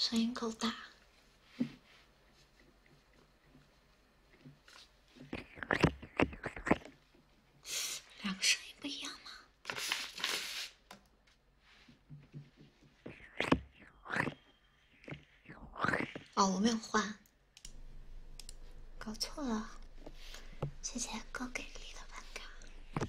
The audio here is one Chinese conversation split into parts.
声音够大。两个声音不一样吗？哦，我没有换，搞错了，谢谢高给力的办卡。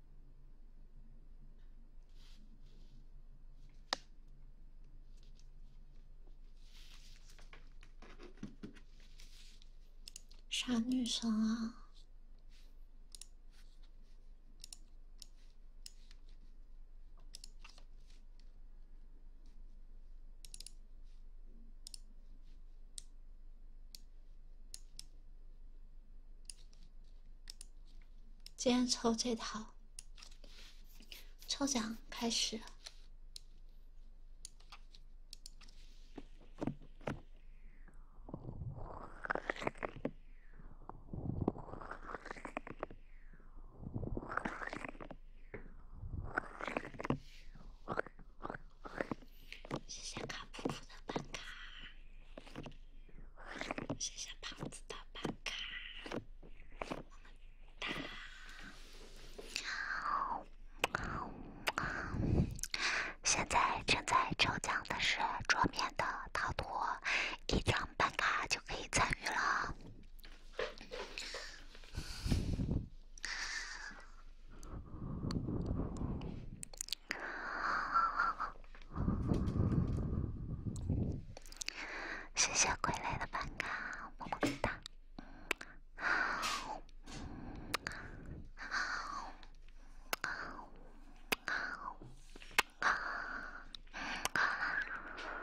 啥女生啊？今天抽这套，抽奖开始。谢谢卡普普的办卡。谢谢胖子的办卡，我们打。现在正在抽奖的是桌面的逃脱，一张办卡就可以参与了。谢谢傀儡的伴咖，么么哒！好，好，好，好，好，好。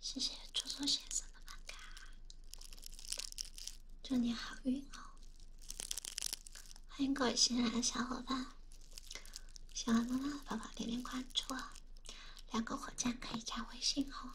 谢谢初初先生的饭卡，祝你好运哦！欢迎各位新来的小伙伴，喜欢萌萌的宝宝点点关注哦！两个火箭可以加微信哦。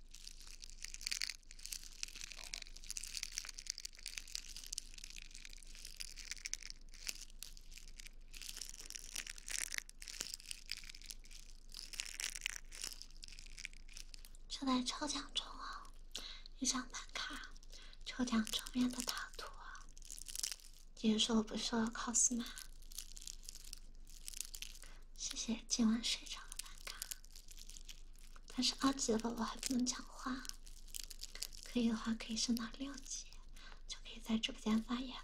正在抽奖中啊！一张板卡，抽奖桌面的套图。有人说我不是 cos 吗？谢谢今晚睡着的板卡。但是二级的宝宝还不能讲话，可以的话可以升到六级，就可以在直播间发言了。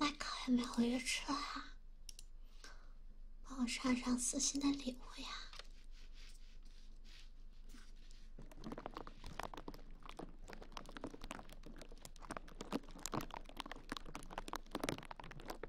麦克还没回去吃了啊？帮我上上私信的礼物呀。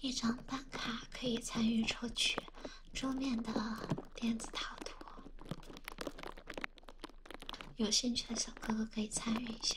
一张番卡可以参与抽取桌面的电子套图，有兴趣的小哥哥可以参与一下。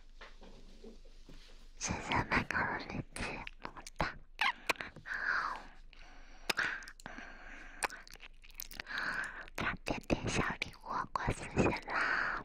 谢谢麦狗日记，么么哒！好，差一点点小礼物过四千啦！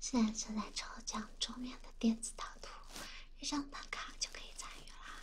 现在正在抽奖桌面的电子导图，一张办卡就可以参与啦！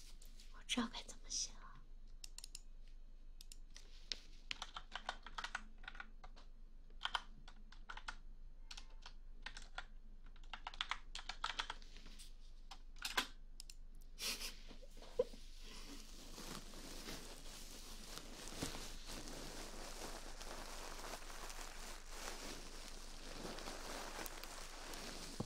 我知道该怎么写了。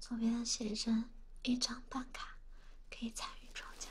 左边的写真，一张半卡，可以参与抽奖。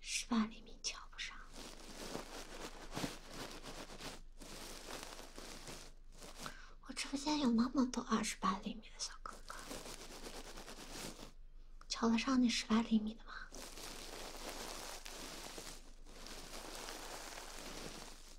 十八厘米瞧不上。我直播间有那么多二十八厘米的小哥哥，瞧得上那十八厘米的吗？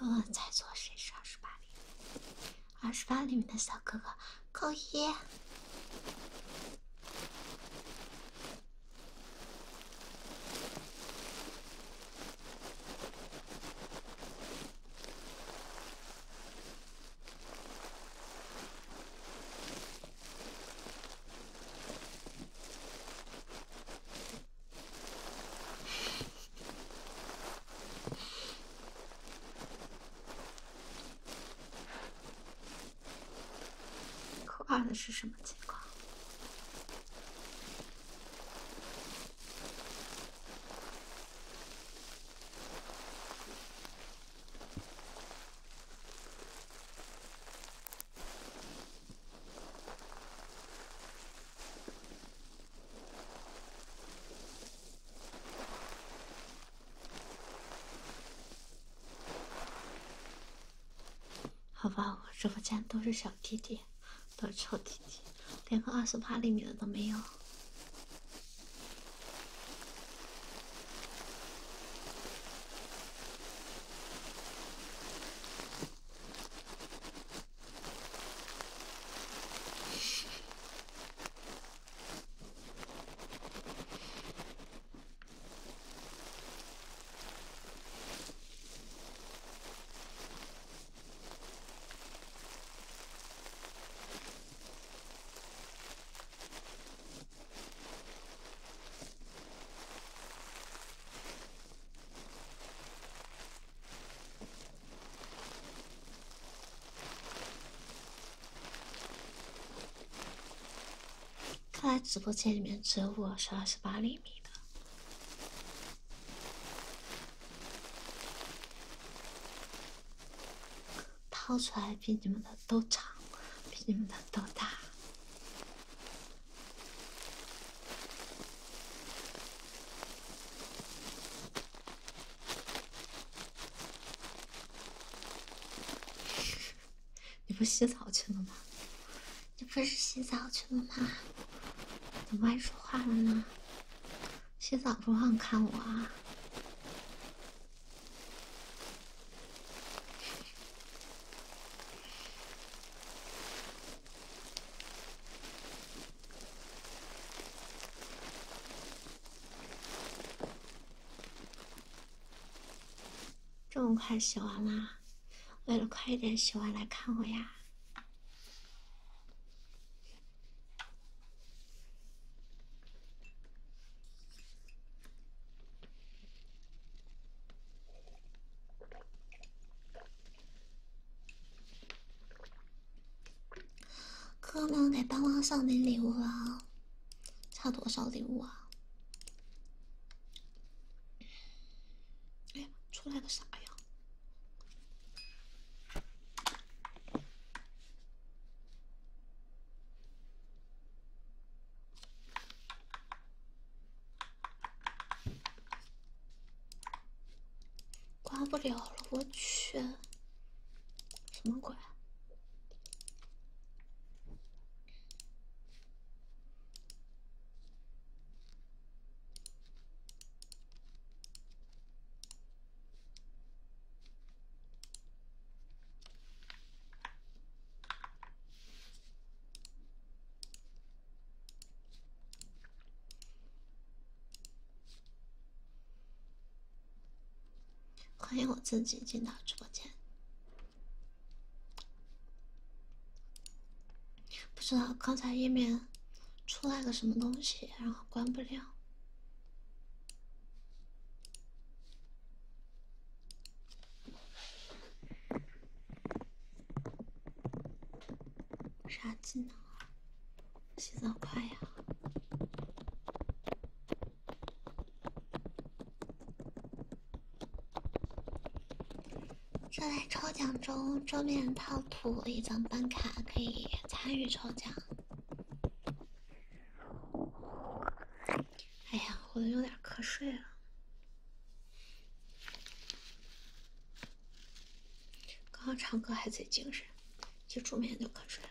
问猜错，谁是二十八里？二十八里面的小哥哥，扣一。可怕的是什么情况？好吧，我直播间都是小弟弟，都是臭弟弟。连个二十八厘米的都没有。看来直播间里面只有我是二十八厘米的。掏出来比你们的都长，比你们的都大。你不洗澡去了吗？你不是洗澡去了吗？怎么还说话了呢？洗澡不忘看我啊！这么快洗完啦？为了快一点洗完来看我呀？哥们，给帮忙送点礼物啊！差多少礼物啊？哎呀，出来个啥呀？关不了了，我去，什么鬼？欢迎我自己进到直播间。不知道刚才页面出来个什么东西，然后关不了。啥技能啊？洗澡快呀！正在抽奖中，桌面套图一张，办卡可以参与抽奖。哎呀，我都有点瞌睡了。刚刚唱歌还贼精神，一煮面就瞌睡了。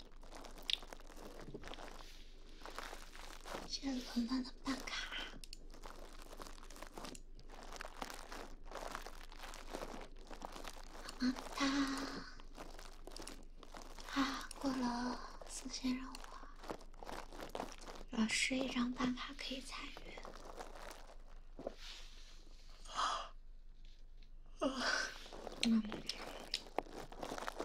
谢谢冷笨的办卡，么么哒！过了四千任务，老师一张办卡可以参与。啊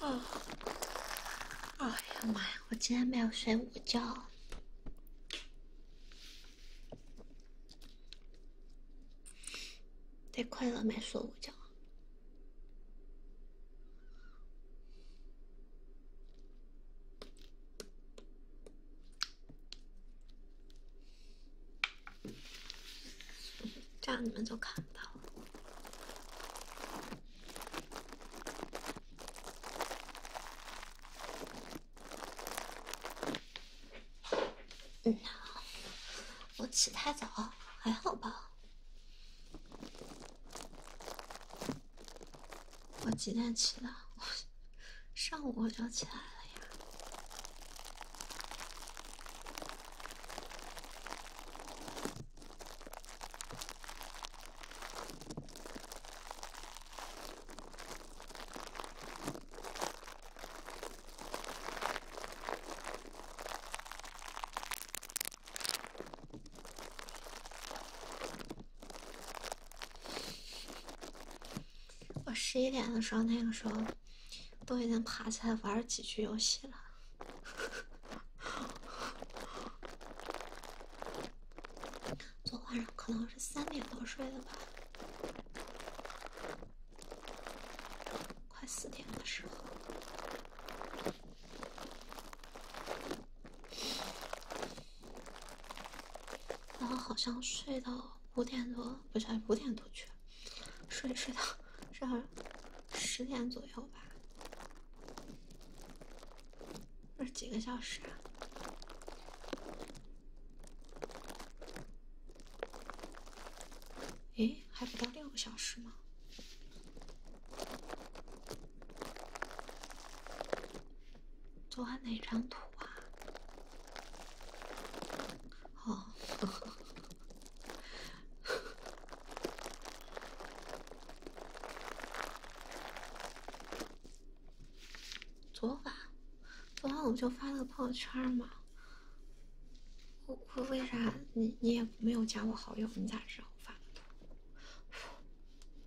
啊！哎呀妈呀，我今天没有睡午觉，太快了，没睡午觉。这样你们就看不到了。嗯，我起太早，还好吧？我几点起的？我。上午我就起来了呀。我十一点的时候，那个时候都已经爬起来玩几局游戏了。昨晚上可能是三点多睡的吧，快四点的时候，然后好像睡到。五点多，不是五点多去，睡睡到儿 十点左右吧，是几个小时啊？诶，还不到六个小时吗？昨晚哪张图啊？好，昨晚，昨晚我就发了个朋友圈嘛。我我为啥你你也没有加我好友？你咋知道我发的图？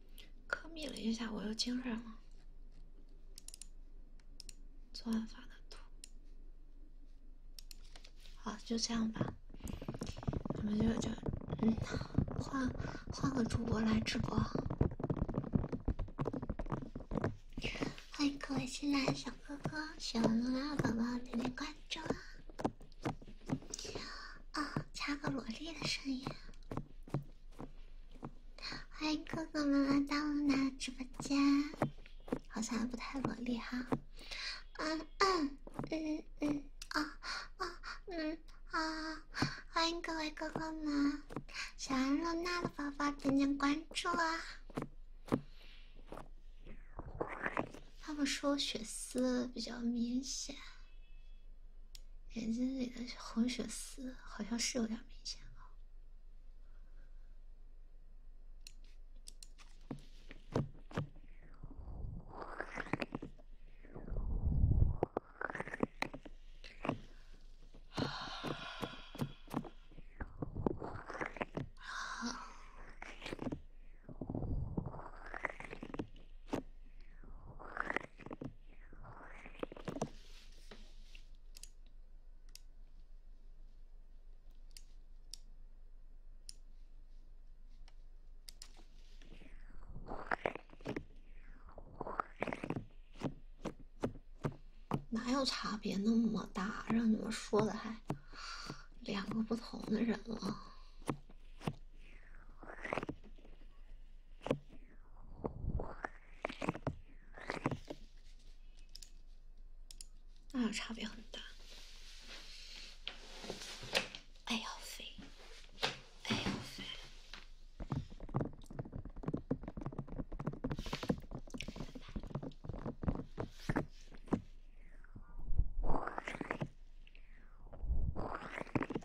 科密了一下，我又精神了。昨晚发的图，好，就这样吧。我们就就，嗯，换换个主播来直播。欢迎各位新来的小哥哥，喜学完了宝宝点点关注啊！啊，加个萝莉的声音。欢迎哥哥们来到露娜直播间，好像还不太萝莉哈，嗯嗯嗯嗯啊啊嗯啊，欢迎各位哥哥们，喜欢露娜的宝宝点点关注啊！他们说我血丝比较明显。眼睛里的红血丝好像是有点明显了。啊。哪有差别那么大？让你们说的还两个不同的人了。那差别很大。哎呦喂！哎呦喂！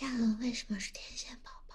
亚纶为什么是天线宝宝？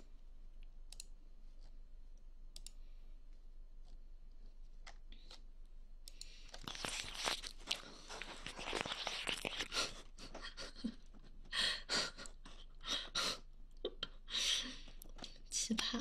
奇葩。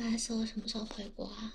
阿我什么时候回国啊？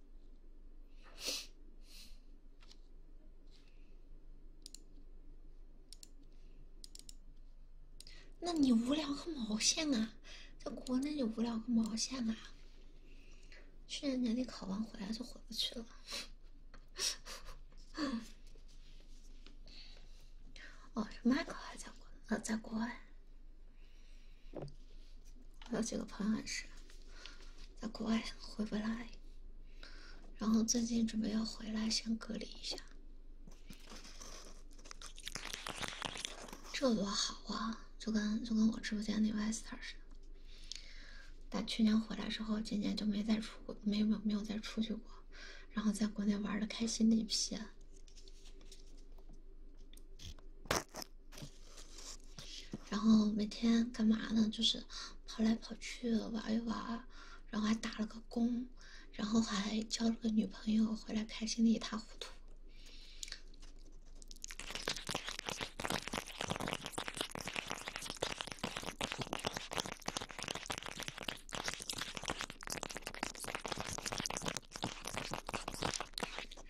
那你无聊个毛线啊！在国内就无聊个毛线啊！去年年底考完回来就回不去了。哦，是迈考还在国呃，在国外。我有几个朋友也是在国外回不来，然后最近准备要回来，先隔离一下。这多好啊，就跟就跟我直播间那 vaster 似的，但去年回来之后，今年就没再出过，没有没有没有再出去过，然后在国内玩的开心的一批。然后每天干嘛呢？就是跑来跑去玩一玩，然后还打了个工，然后还交了个女朋友，回来开心的一塌糊涂。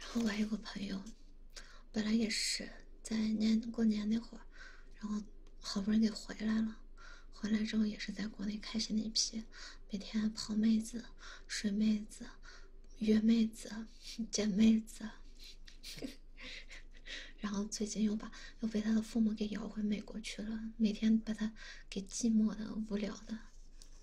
然后我还有个朋友。本来也是在年过年那会儿，然后好不容易给回来了，回来之后也是在国内开心的一批，每天泡妹子、睡妹子、约妹子、见 妹子，然后最近又把又被他的父母给摇回美国去了，每天把他给寂寞的、无聊的。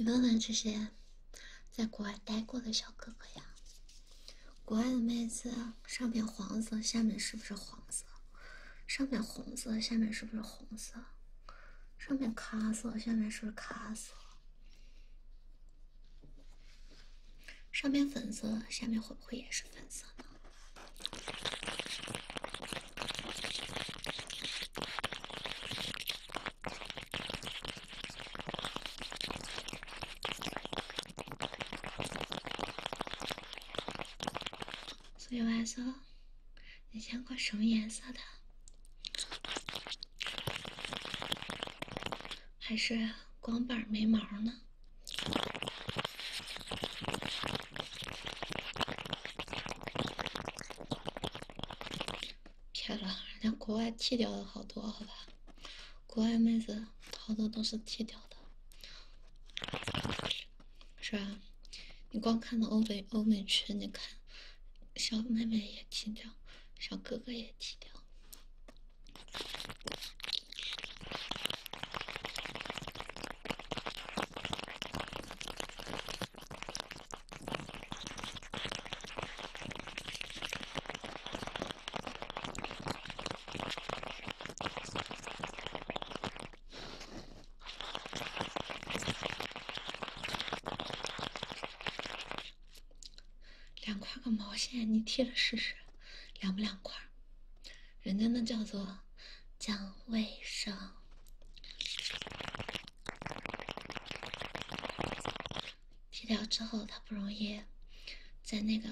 你问问这些在国外待过的小哥哥呀，国外的妹子，上面黄色下面是不是黄色？上面红色下面是不是红色？上面咖色下面是不是咖色？上面粉色下面会不会也是粉色呢？所以我说，你见过什么颜色的？还是光板没毛呢？骗了，人家国外剃掉了好多，好吧？国外妹子好多都是剃掉的，是吧？你光看到欧美欧美区，你看小妹妹也剃掉，小哥哥也剃掉。两块个毛线，你贴了试试，凉不凉快？人家那叫做讲卫生，剃掉之后它不容易在那个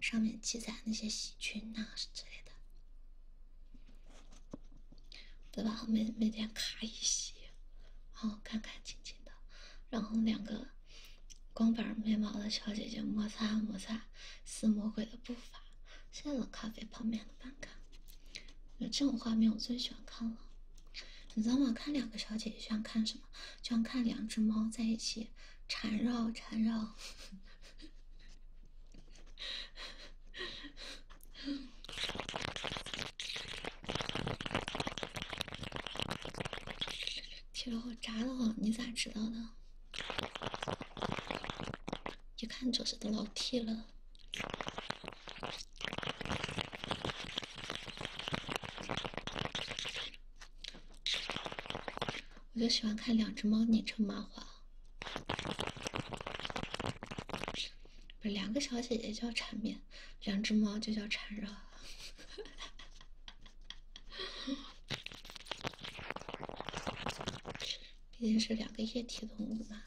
上面积攒那些细菌呐之类的，对吧？每每天卡一洗，然后干干净净的，然后两个。光板面毛的小姐姐摩擦摩擦，似魔鬼的步伐。现在冷咖啡泡面的饭卡，有这种画面我最喜欢看了。你早晚看两个小姐姐，像看什么？就像看两只猫在一起缠绕缠绕。疼 了我扎的慌，你咋知道的？一看就是老 T 了，我就喜欢看两只猫拧成麻花，不，是两个小姐姐叫缠绵，两只猫就叫缠绕。毕竟是两个液体动物嘛，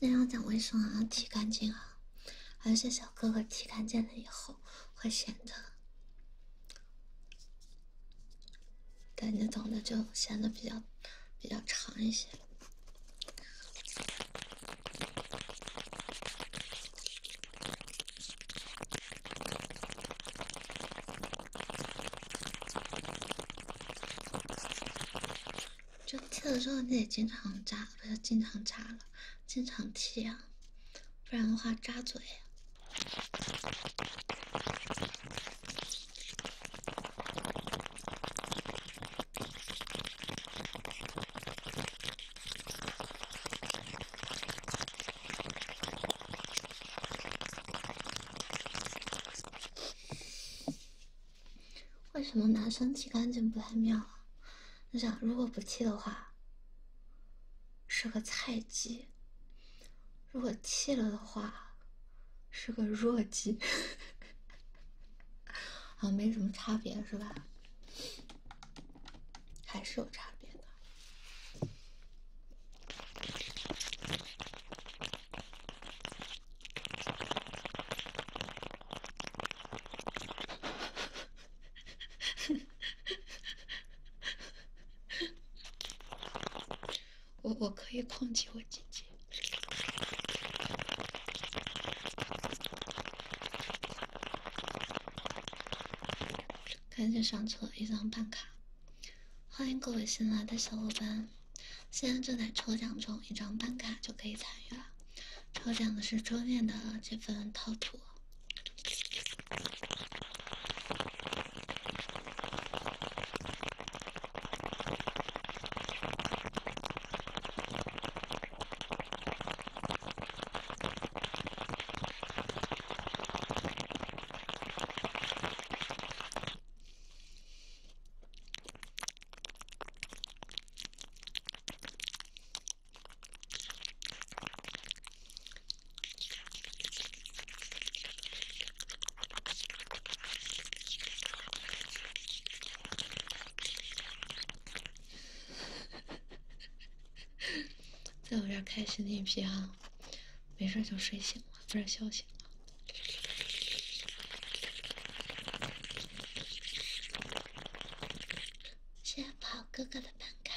那要讲卫生啊，剃干净啊，而且小哥哥剃干净了以后，会显得，感觉长得就显得比较，比较长一些。就剃的时候你得经常扎，不是经常扎了，经常剃啊，不然的话扎嘴。为什么男生剃干净不太妙啊？你想，如果不剃的话，是个菜鸡；如果剃了的话，是个弱鸡。好 像没什么差别是吧？还是有差别的。我我可以控制我姐姐。赶紧上车，一张办卡。欢迎各位新来的小伙伴，现在正在抽奖中，一张办卡就可以参与了。抽奖的是桌面的这份套图。在我这儿开心的一批哈。没事就睡醒了，笑醒了。谢谢跑哥哥的办卡。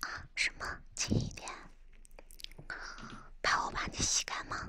啊？什么？轻一点，怕我把你吸干吗？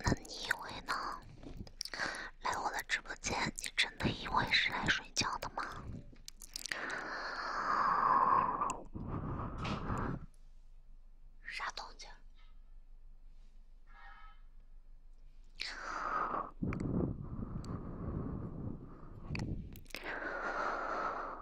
那你以为呢？来我的直播间，你真的以为是来睡觉的吗？啥动静？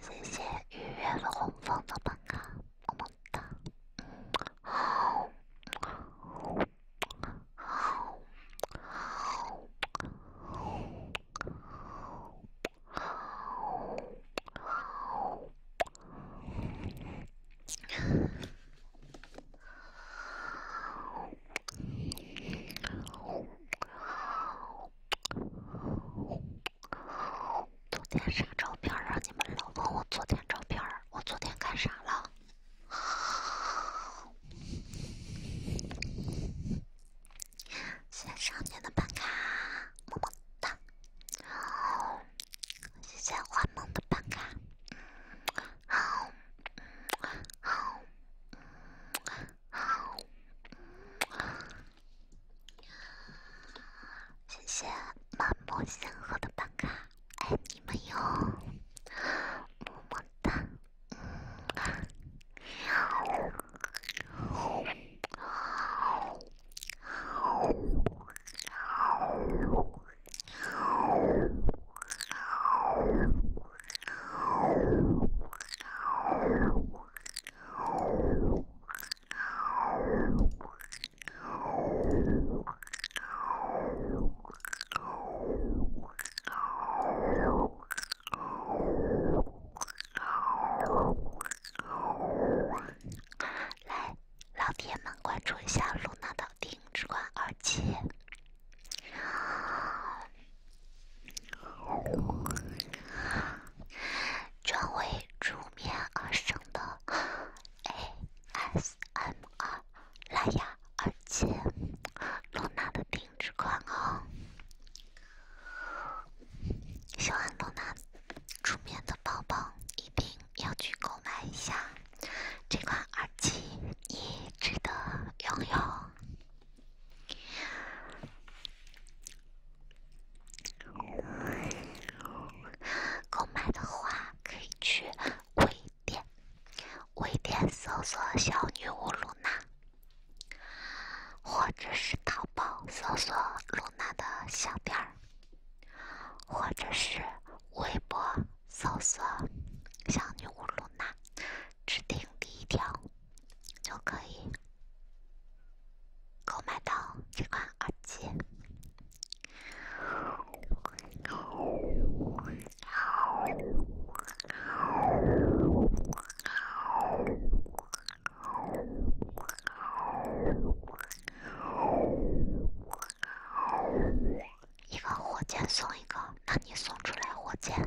谢谢雨月红枫的粉卡，么么哒！好，好，好，好，好，好。昨天啥照片？让你们老问我昨天照片，我昨天干啥了？谢谢少年的办卡，么么哒！谢谢幻梦的办卡，好。好，好，谢谢漫步仙河的办卡，爱你们哟，么么哒，嗯。来，老铁们关注一下露娜到底。定制款耳机，专为助眠而生的 ASMR 蓝牙耳机，罗娜的定制款哦。喜欢罗娜助眠的宝宝，一定要去购买一下。这款耳机你值得拥有。购买的话，可以去微店、微店搜索“小女巫露娜”，或者是淘宝搜索“露娜的小店儿”，或者是微博搜索“小女巫露娜”。指定第一条就可以购买到这款耳机。一个火箭送一个，那你送出来火箭？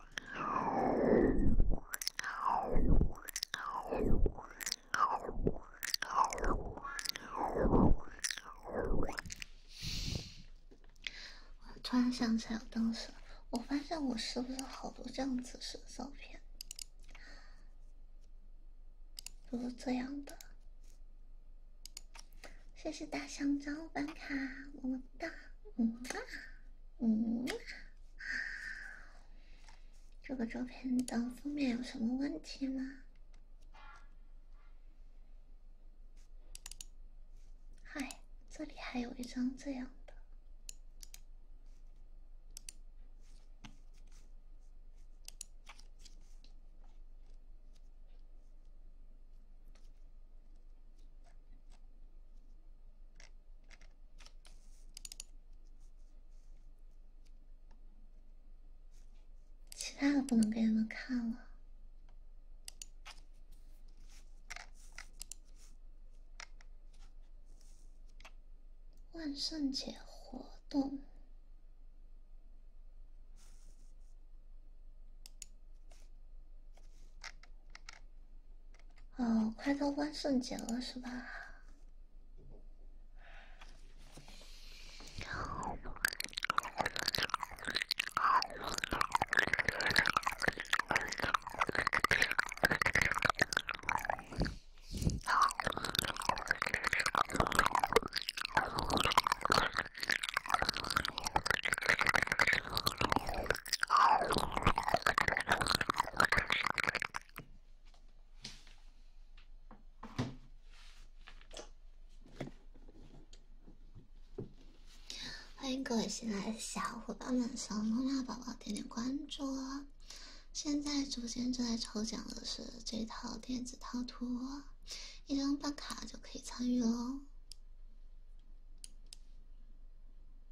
我突然想起来，当时我发现我是不是好多这样子的照片，都是这样的。谢谢大香蕉板卡，么么。的，嗯，嗯，啊，这个照片的封面有什么问题吗？嗨，这里还有一张这样的。其他的不能给你们看了。万圣节活动。哦，快到万圣节了是吧？欢迎各位新来的小伙伴们，小猫猫宝宝点点关注啊！现在直播间正在抽奖的是这套电子套图，一张办卡就可以参与喽。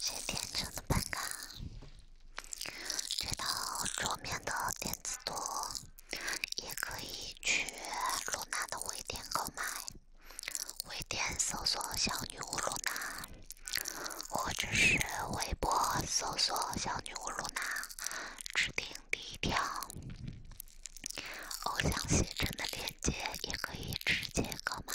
是天秤的办卡，这套桌面的电子图也可以去露娜的微店购买，微店搜索“小女巫露娜”，或者是微博搜索“小女巫露娜”指定。第一条，偶像写真的链接也可以直接购买。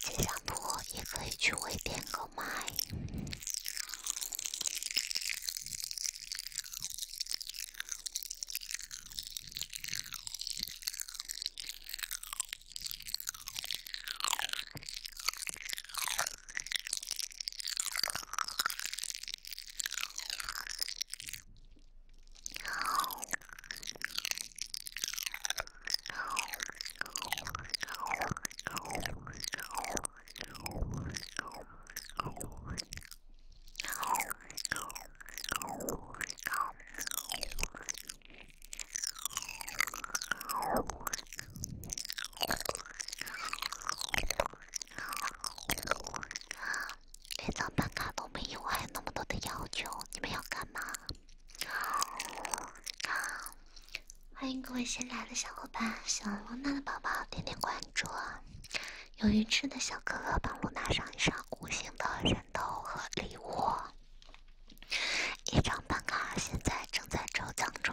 这张图也可以去微点购买。啊，连张办卡都没有，还有那么多的要求，你们要干嘛？欢迎各位新来的小伙伴！喜欢露娜的宝宝点点关注。有鱼翅的小哥哥帮露娜上一上五星的人头和礼物。一张办卡现在正在抽奖中。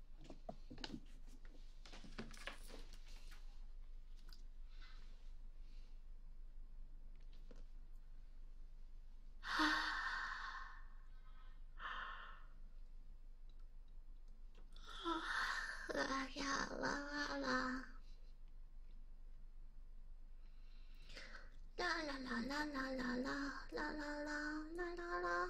啊！啊啦啦啦啦啦啦啦啦啦啦！啦啦啦啦啦啦！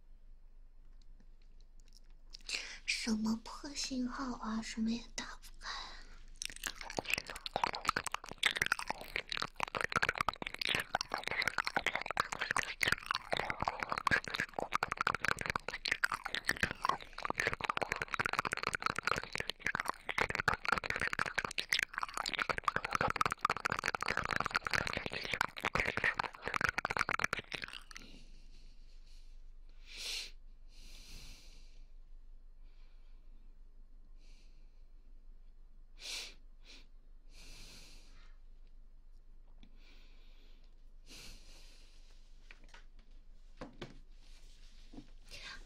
什么破信号啊！什么也打不开。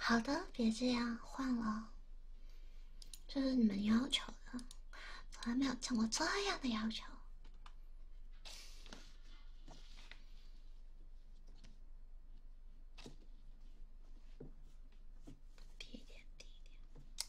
好的，别这样，换了。这是你们要求的，从来没有见过这样的要求。低一点，低一点。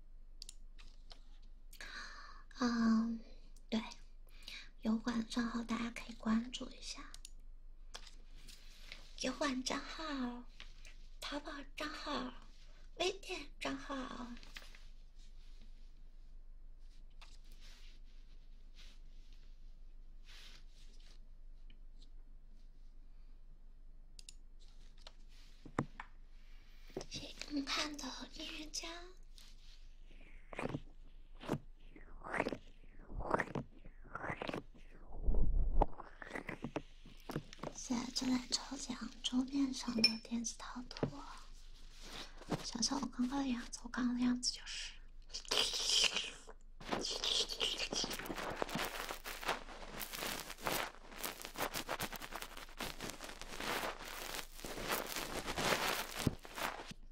嗯，对，油管账号大家可以关注一下，油管账号、淘宝账号、微店账号。谢谢观看的音乐家。现在正在抽奖桌面上的电子套图。想想我刚刚的样子，我刚刚的样子就是。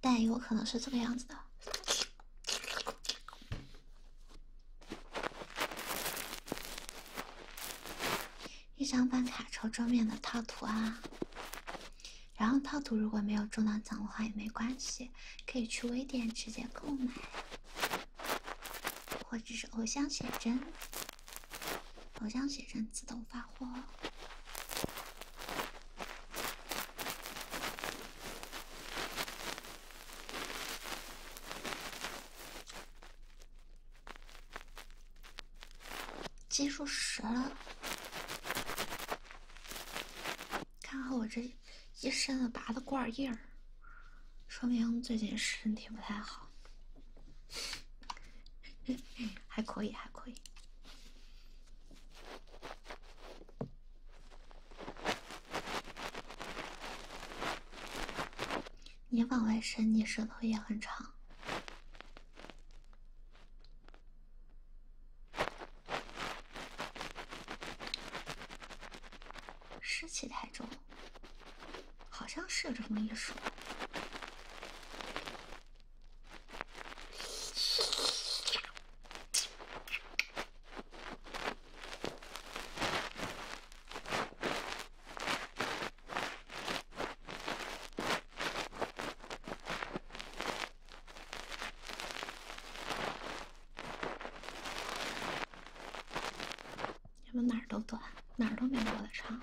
但也有可能是这个样子的。一张办卡抽桌面的套图啊，然后套图如果没有中到奖的话也没关系，可以去微店直接购买，或者是偶像写真。好像写成自动发货，基数十了。看好我这一身的拔的罐印儿，说明最近身体不太好。还可以，还可以。你往外伸，你舌头也很长。湿气太重。好像是有这么一说。你们哪儿都短，哪儿都没我的长。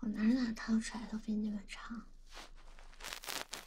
我哪哪烫出来都比你们长。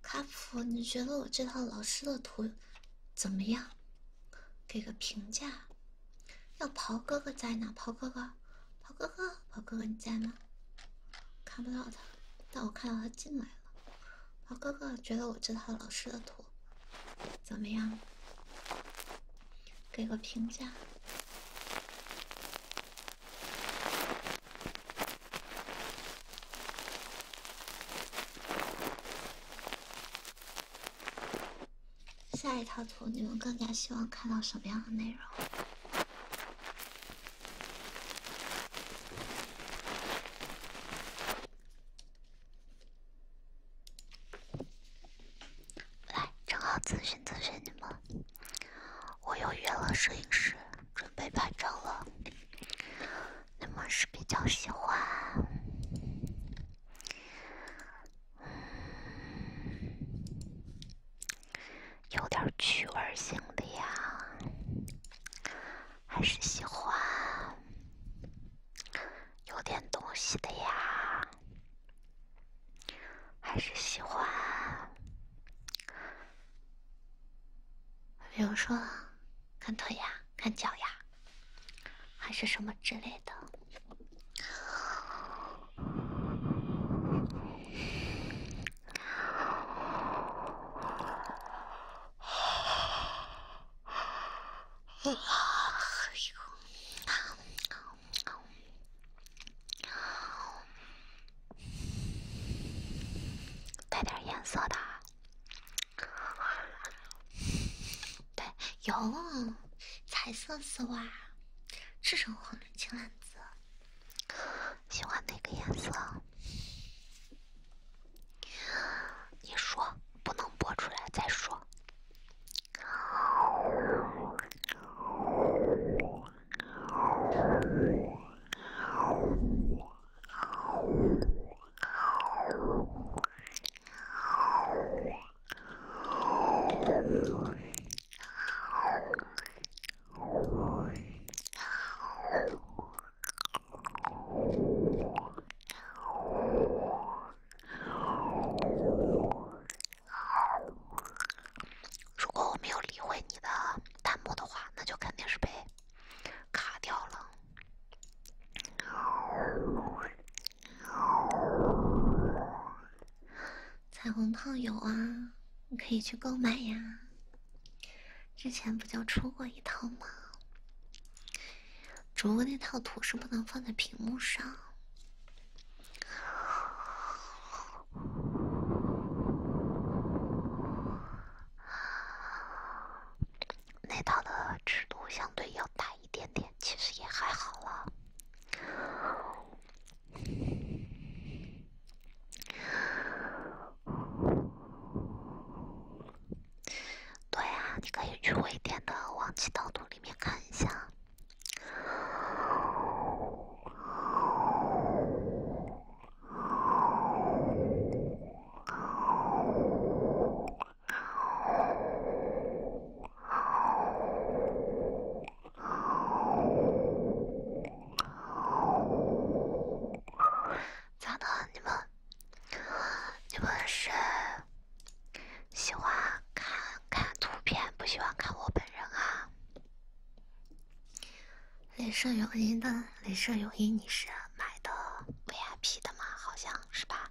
卡普，你觉得我这套老师的图怎么样？给个评价。要袍哥哥在呢，袍哥哥，袍哥哥，袍哥哥，你在吗？看不到他，但我看到他进来了。袍哥哥，觉得我这套老师的图怎么样？给个评价。下一套图，你们更加希望看到什么样的内容？来，正好咨询咨询你们，我又约了摄影师，准备拍照了。你们是比较喜欢？嗯，有点趣味性的呀，还是喜欢有点东西的呀，还是喜欢，比如说看腿呀、看脚呀，还是什么之类的。啊！有，带点颜色的，对，有彩色丝袜，这种很。青蓝色，喜欢哪个颜色？你说，不能播出来再说。如果我没有理会你的弹幕的话，那就肯定是被卡掉了。彩虹套有啊，你可以去购买呀。之前不就出过一套吗？只不过那套图是不能放在屏幕上。那套的尺度相对要大一点点，其实也还好了。对呀，你可以去微店的《往期盗图》里面看一下。咋的？你们，你们是喜欢看看图片，不喜欢看我本人啊？镭射泳衣的镭射泳衣，你是买的 VIP 的吗？好像是吧？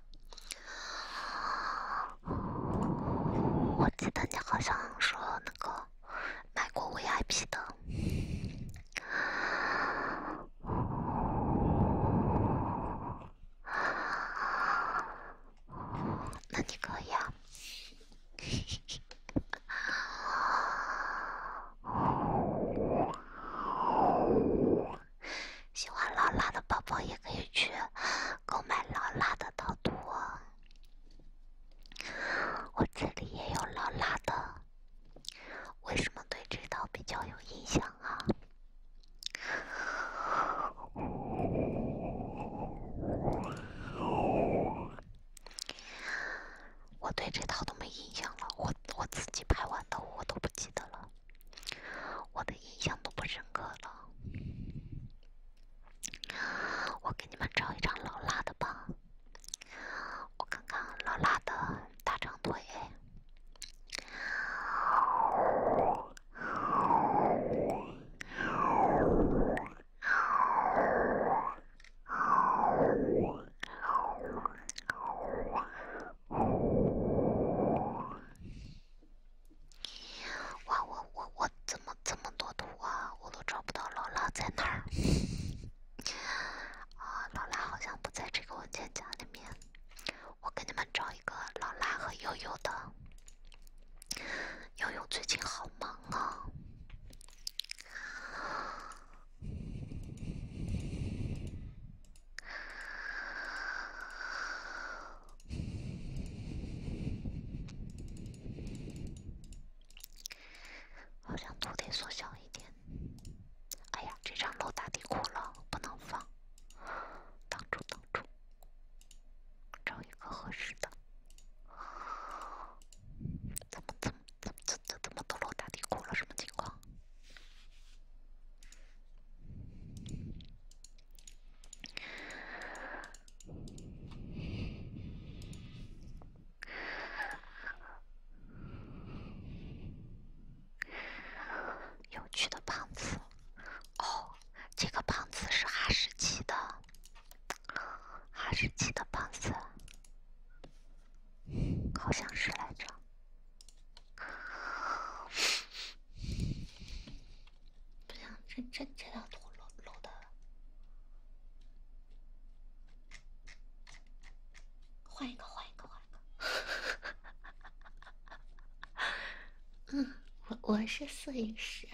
我记得你好像说那个买过 VIP 的，那你可以。啊。喜欢劳拉的宝宝也可以去购买劳拉的逃脱。我这里也有老辣的，为什么对这套比较有印象啊？我对这套都没印象了，我我自己拍完的我都不记得了，我的印象都不深刻了。我给你们找一张老辣的吧，我看看老辣的大长腿。哇，我我我怎么这么多图啊？我都找不到劳拉在哪儿。啊，劳拉好像不在这个文件夹里面。我给你们找一个劳拉和悠悠的。悠悠最近好忙啊。好像图得缩小一点。哎呀，这张露打底裤了，不能放，挡住挡住，找一个合适的。怎么怎么怎么怎么怎么都露打底裤了？什么情况？有趣的胖子，哦，这个胖子是哈士奇的，哈士奇的胖子，好像是来着。不行，这这这道图露露的，换一个，换一个，换一个。嗯，我我是摄影师，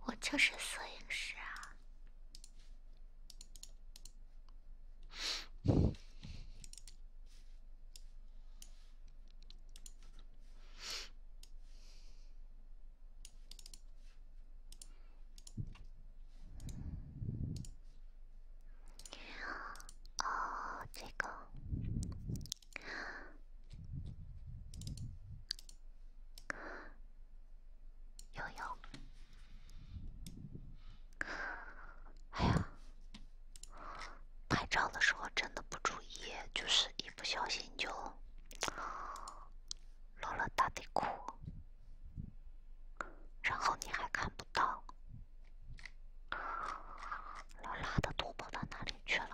我就是摄影师啊。哦，这个有有。哎呀，拍照的时候真的不注意，就是一不小心。你就落了打底裤，然后你还看不到，裸裸的都跑到哪里去了？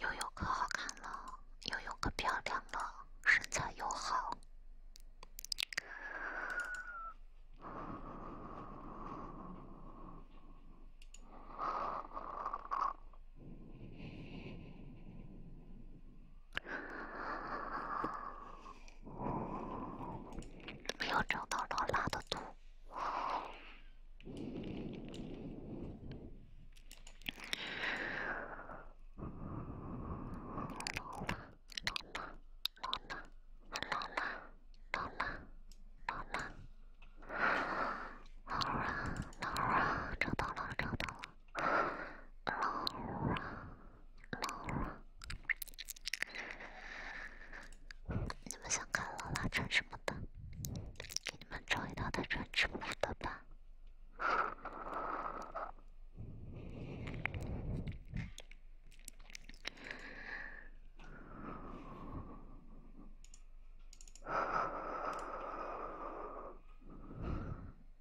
又有可好看了，又有可漂亮了，身材又好，没有找到老拉的图。你们想看老啦穿什么？的，给你们找一套他穿直播的吧。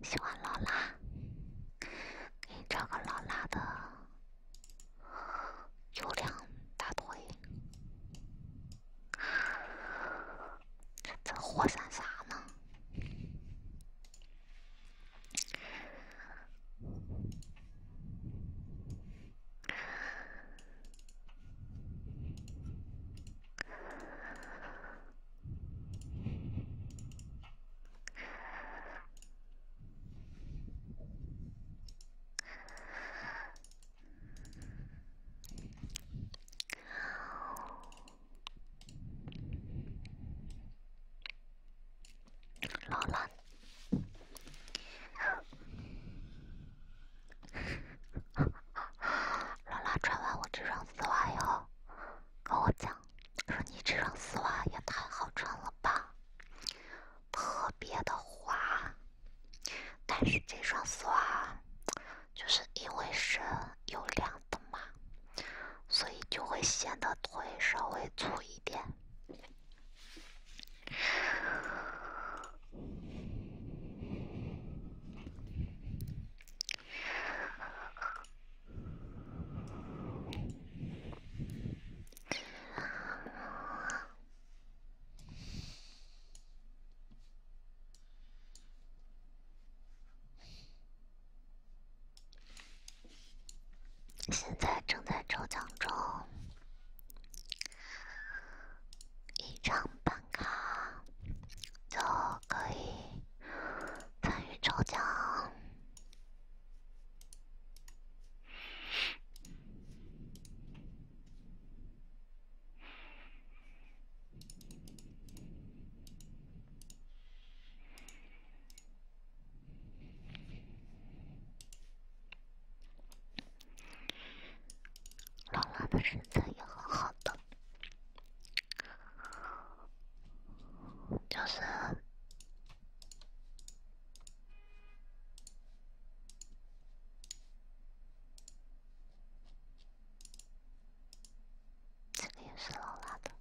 喜欢劳拉，给你找个劳拉的，有两大腿。这活山啥呢？老衲。老衲穿完我这双丝袜以跟我讲，说你这双丝袜也太好穿了吧，特别的滑。但是这双丝袜，就是因为是有量的嘛，所以就会显得腿稍微粗一点。现在正在抽奖中，一张办卡就可以参与抽奖。劳拉的身材也很好的，就是。这个也是老辣的，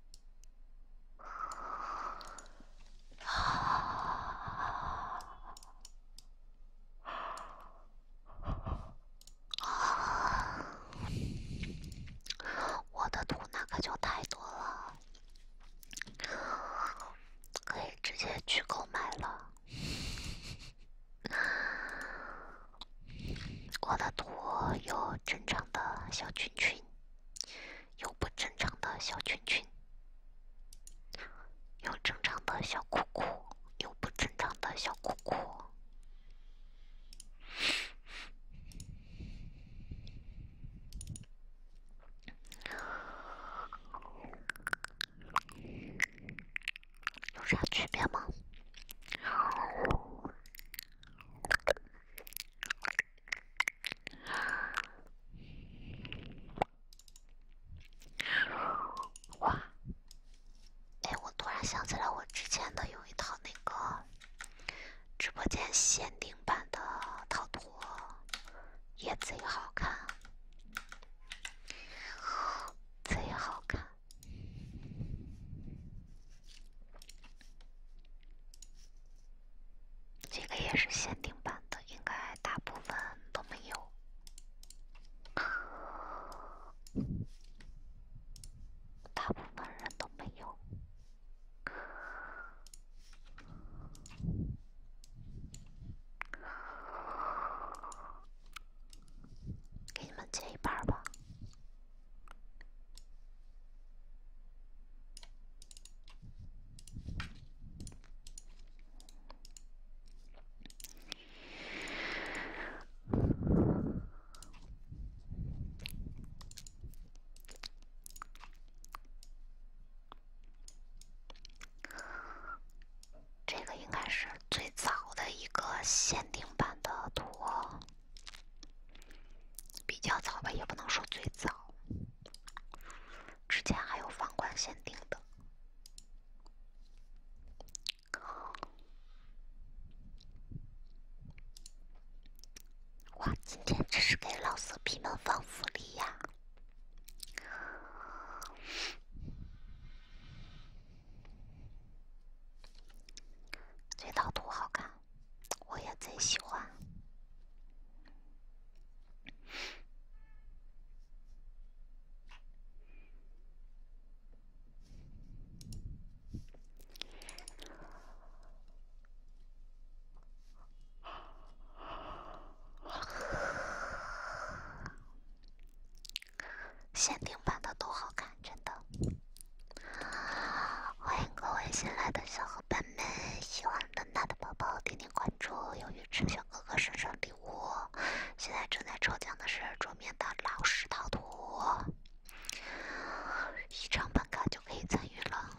我的图那可就太多了，可以直接去购买了。我的图有正常的小裙裙，有不正常的小裙裙，有正常的小裤裤，有不正常的小裤裤。有啥区别吗？哇！哎，我突然想起来，我之前的有一套那个直播间限定版的套图也贼好看。贼好看，这个也是限定版的，应该大部分都没有，大部分人都没有。给你们切一半儿吧。这个应该是最早的一个限定版的图，比较早吧，也不能说最早。之前还有皇冠限定的。哇，今天这是给老色批们放福利呀！这套图好看，我也贼喜欢。限定版的都好看，真的。欢迎各位新来的小伙伴们，喜欢的那的宝宝点点关注。由于池小哥哥生置礼物，现在正在抽奖的是桌面的《老式套图，一张本卡就可以参与了。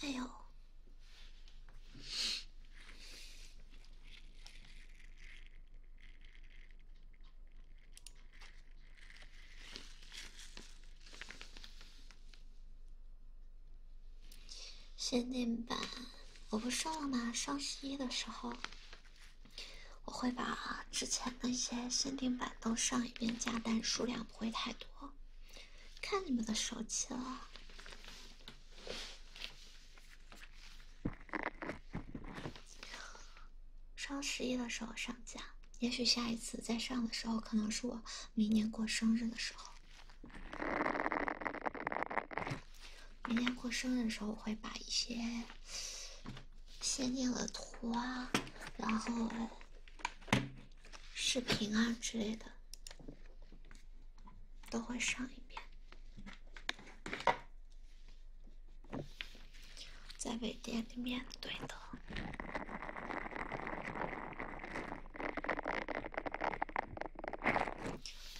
哎呦！限定版，我不说了吗？双十一的时候。我会把之前那些限定版都上一遍加单，数量不会太多，看你们的手气了。双十一的时候上架，也许下一次再上的时候，可能是我明年过生日的时候。明年过生日的时候，我会把一些。先定的图啊，然后视频啊之类的，都会上一遍，在微店里面对的。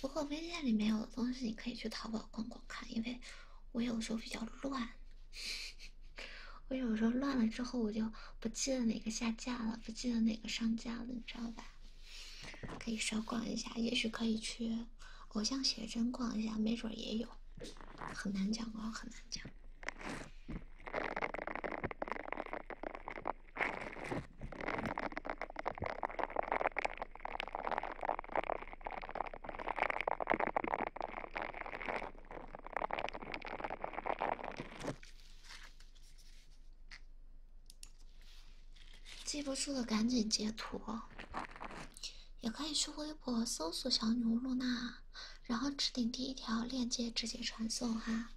不过微店里面有的东西，你可以去淘宝逛逛看，因为。我有时候比较乱，我有时候乱了之后，我就不记得哪个下架了，不记得哪个上架了，你知道吧？可以稍逛一下，也许可以去偶像写真逛一下，没准儿也有，很难讲哦，很难讲。记不住的赶紧截图。也可以去微博搜索“小女巫露娜”，然后置顶第一条链接，直接传送哈。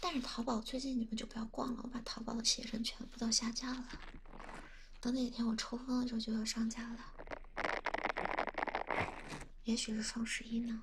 但是淘宝最近你们就不要逛了，我把淘宝的鞋衬全部都下架了。等哪天我抽风的时候就要上架了，也许是双十一呢。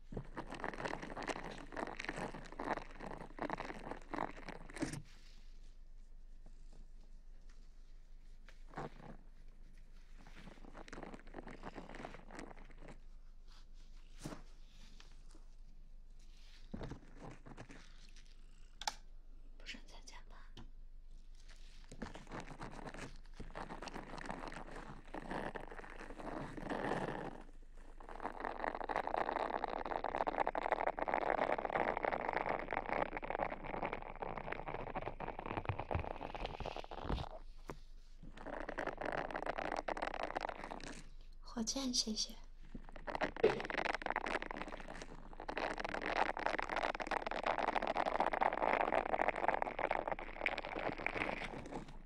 不准再加班。火箭，谢谢。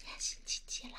今天星期几啦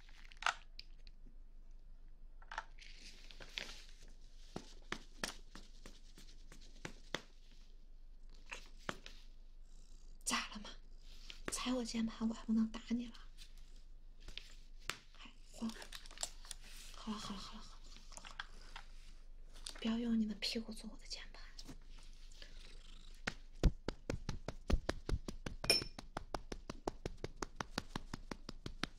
咋了嘛？踩我键盘，我还不能打你了？哎，好，好了，好了，好了，好了，不要用你的屁股做我的键盘。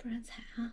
不然踩啊！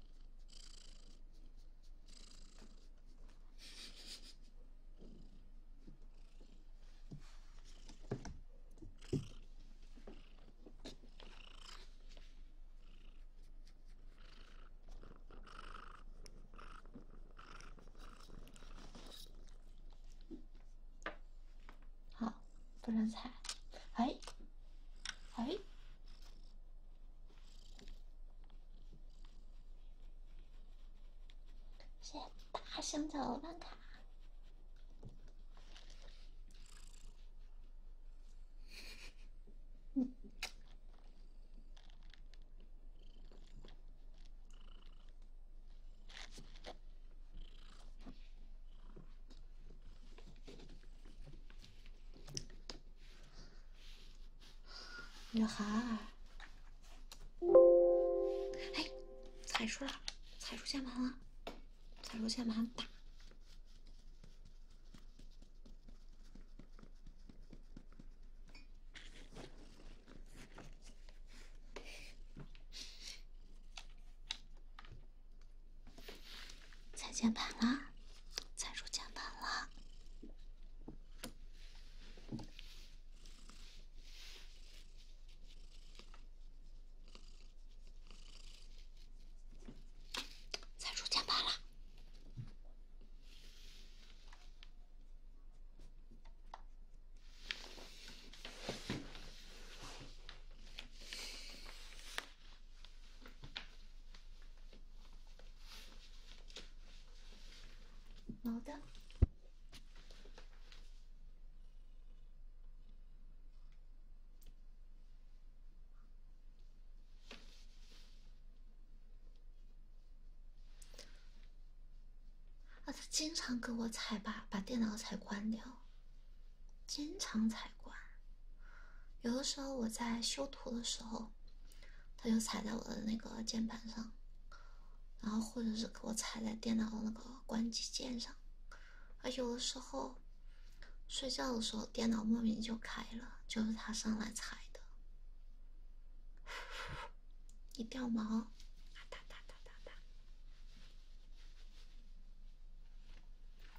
好。不能踩，哎，哎，谢谢大香蕉万卡。女孩，哎，踩出来了，踩出键盘了，踩出键盘打。踩键盘了，踩住键盘了，踩住键盘了。好的。啊，他经常给我踩把，把电脑踩关掉。经常踩关，有的时候我在修图的时候，它就踩在我的那个键盘上，然后或者是给我踩在电脑的那个关机键上，而有的时候睡觉的时候电脑莫名就开了，就是它上来踩的，一掉毛，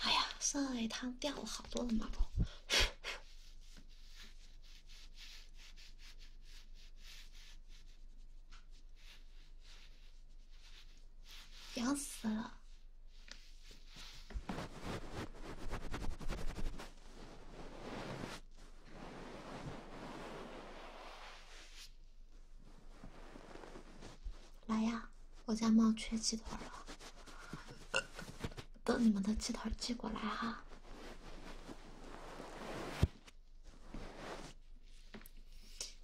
哎呀，上一趟掉了好多的毛。痒死了！来呀，我家猫缺鸡腿了，等你们的鸡腿寄过来哈。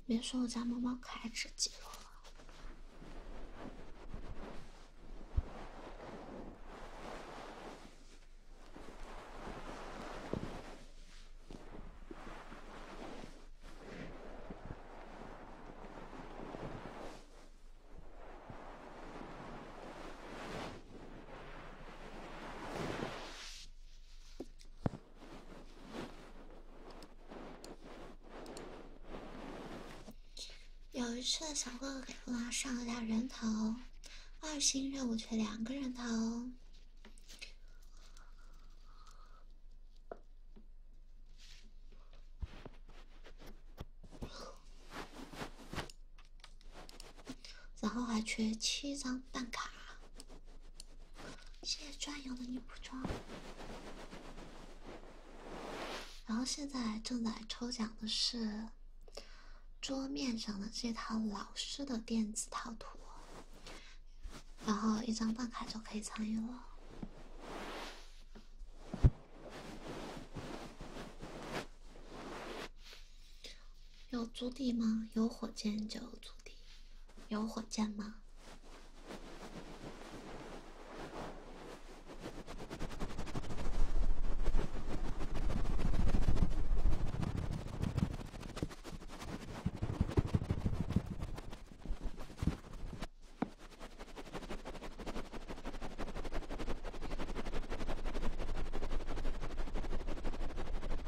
别说我家猫猫可爱，吃鸡肉了。有一次，小哥哥给我上了俩人头，二星任务缺两个人头，然后还缺七张。办卡，谢谢专有的女仆装。然后现在正在抽奖的是桌面上的这套老师的电子套图，然后一张办卡就可以参与了。有足底吗？有火箭就有足底。有火箭吗？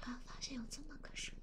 突然发现有这么个声音。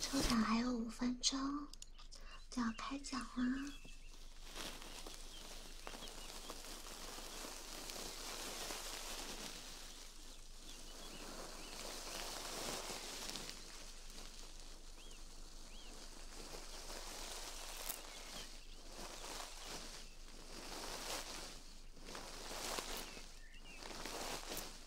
抽奖还有五分钟就要开奖啦！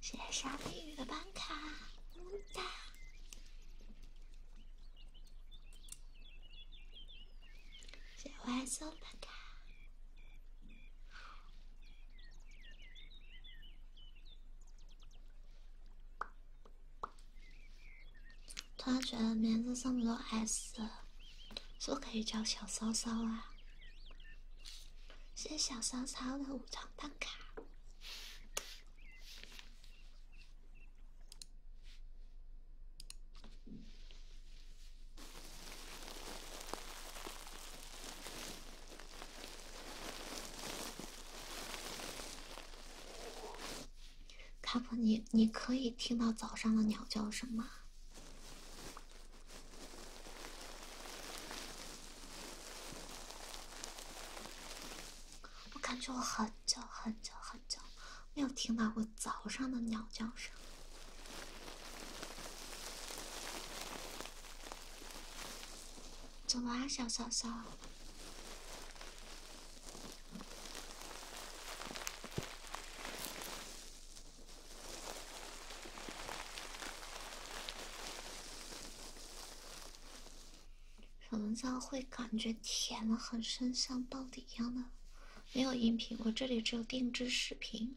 谢谢沙蜜雨的办卡，么哒！谢 Y 欢的卡。突然觉得名字上不了 S，是可以叫小骚骚啊。谢谢小骚骚的五张蛋卡。卡普，你你可以听到早上的鸟叫声吗？我感觉我很久很久很久没有听到过早上的鸟叫声。走啊，小小小？么叫会感觉甜的很深，像到底一样的，没有音频，我这里只有定制视频。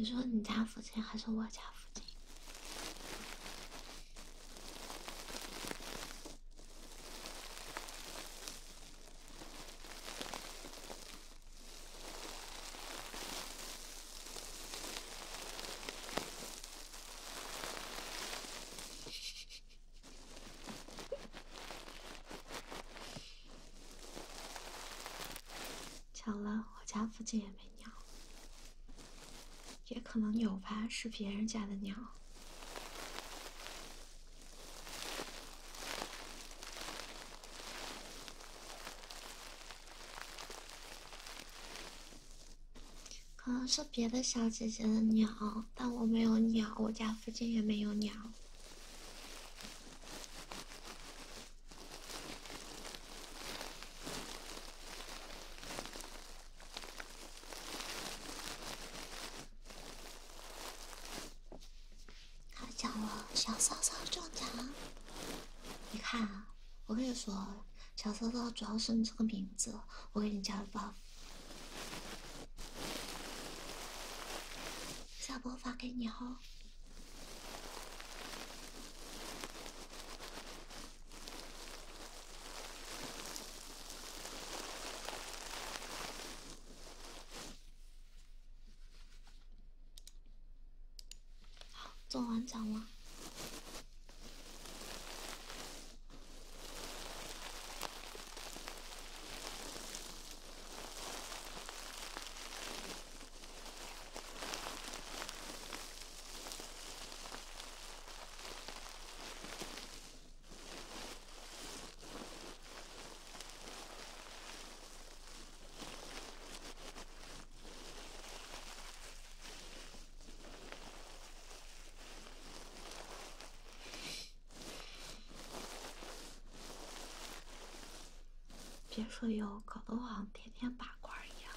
你说你家附近还是我家附近？巧了，我家附近也没鸟。也可能有吧，是别人家的鸟。可能是别的小姐姐的鸟，但我没有鸟，我家附近也没有鸟。他讲了，小骚骚中奖。你看，啊，我跟你说，小骚骚主要是你这个名字，我给你加了 buff。下播发给你哦。好，做完成了别说有，搞得好像天天八卦一样。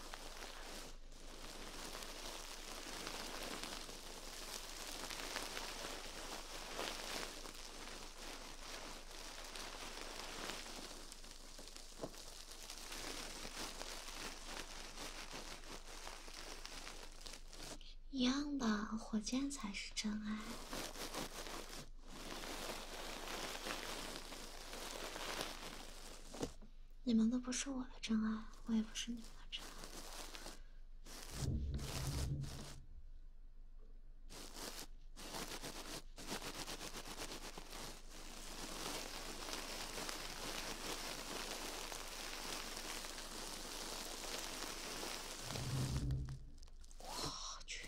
一样的，火箭才是真爱。你们都不是我的真爱，我也不是你们的真爱。我去。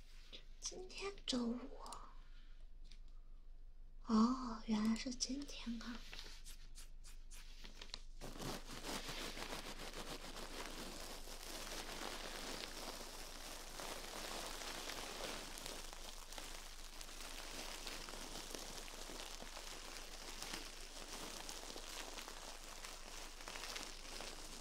今天周五，哦，原来是今天啊。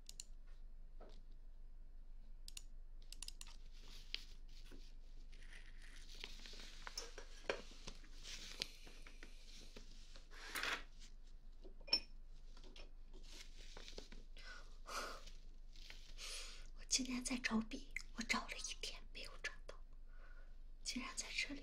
我今天在找笔，我找了一天没有找到，竟然在这里。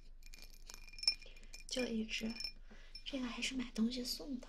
就一只，这个还是买东西送的。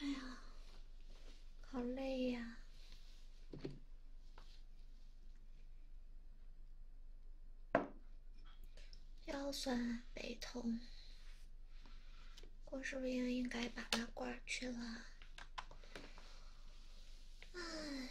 哎呀，好累呀，腰酸背痛。我是不是应该把它挂去了。哎。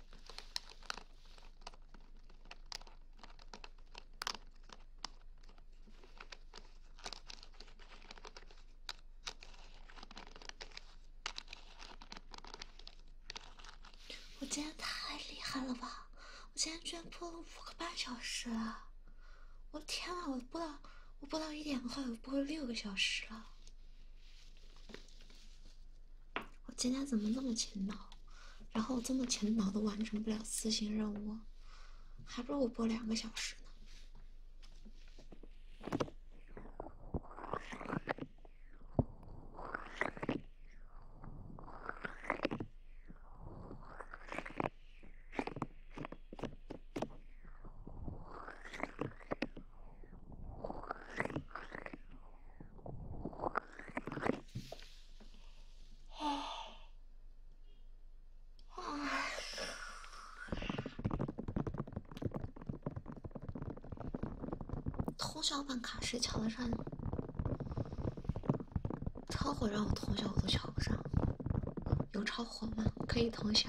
我今天太厉害了吧！我今天居然播了五个半小时了！我天啊，我播到我播到一点快，我播了六个小时了。我今天怎么那么勤劳？然后我这么勤劳都完成不了私信任务，还不如我播两个小时呢。通宵办卡谁瞧得上？超火让我通宵我都瞧不上。有超火吗？可以通宵。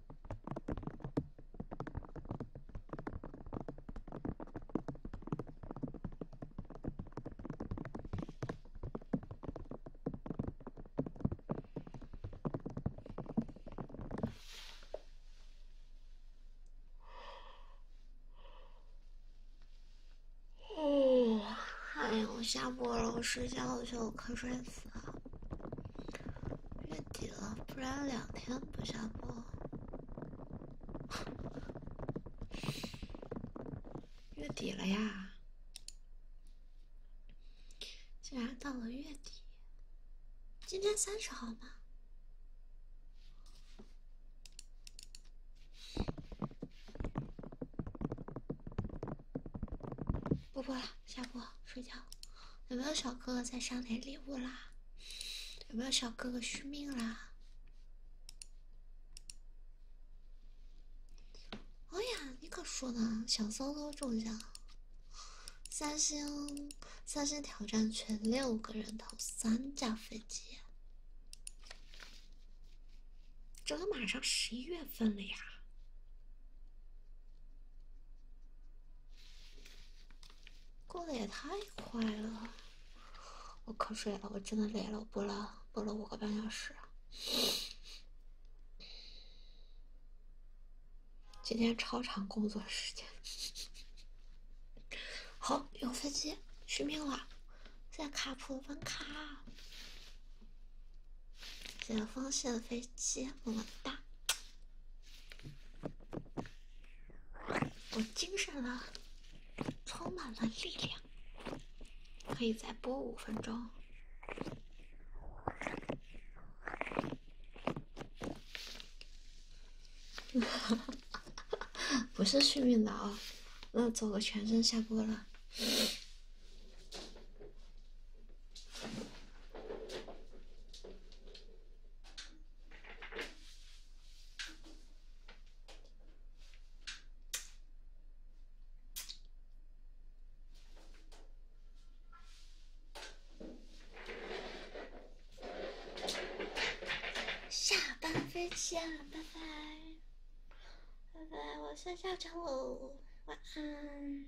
哦，哎呀，我下播了，我睡觉去了，我瞌睡死。月底了，不然两天不下播。月底了呀，竟然到了月底。今天三十号吗？不播了。下播睡觉，有没有小哥哥在上点礼物啦？有没有小哥哥续命啦？哎呀，你可说呢，小骚骚中奖，三星三星挑战全六个人头三架飞机，这都马上十一月份了呀！过得也太快了，我瞌睡了，我真的累了，我播了播了五个半小时，今天超长工作时间。好，有飞机，续命了，现在卡普本卡，解放线飞机，么么哒。我精神了，充满了力量，可以再播五分钟。不是幸运的啊，那走个全身下播了。下班，飞啊，拜拜，拜拜，我先下长喽，晚安。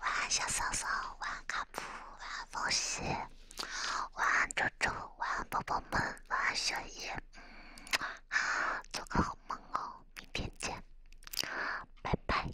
晚安，小松松！晚安，卡普，晚安，风西！晚安，周周，晚安，宝宝们！晚安，小叶，做个好梦哦，明天见，拜拜。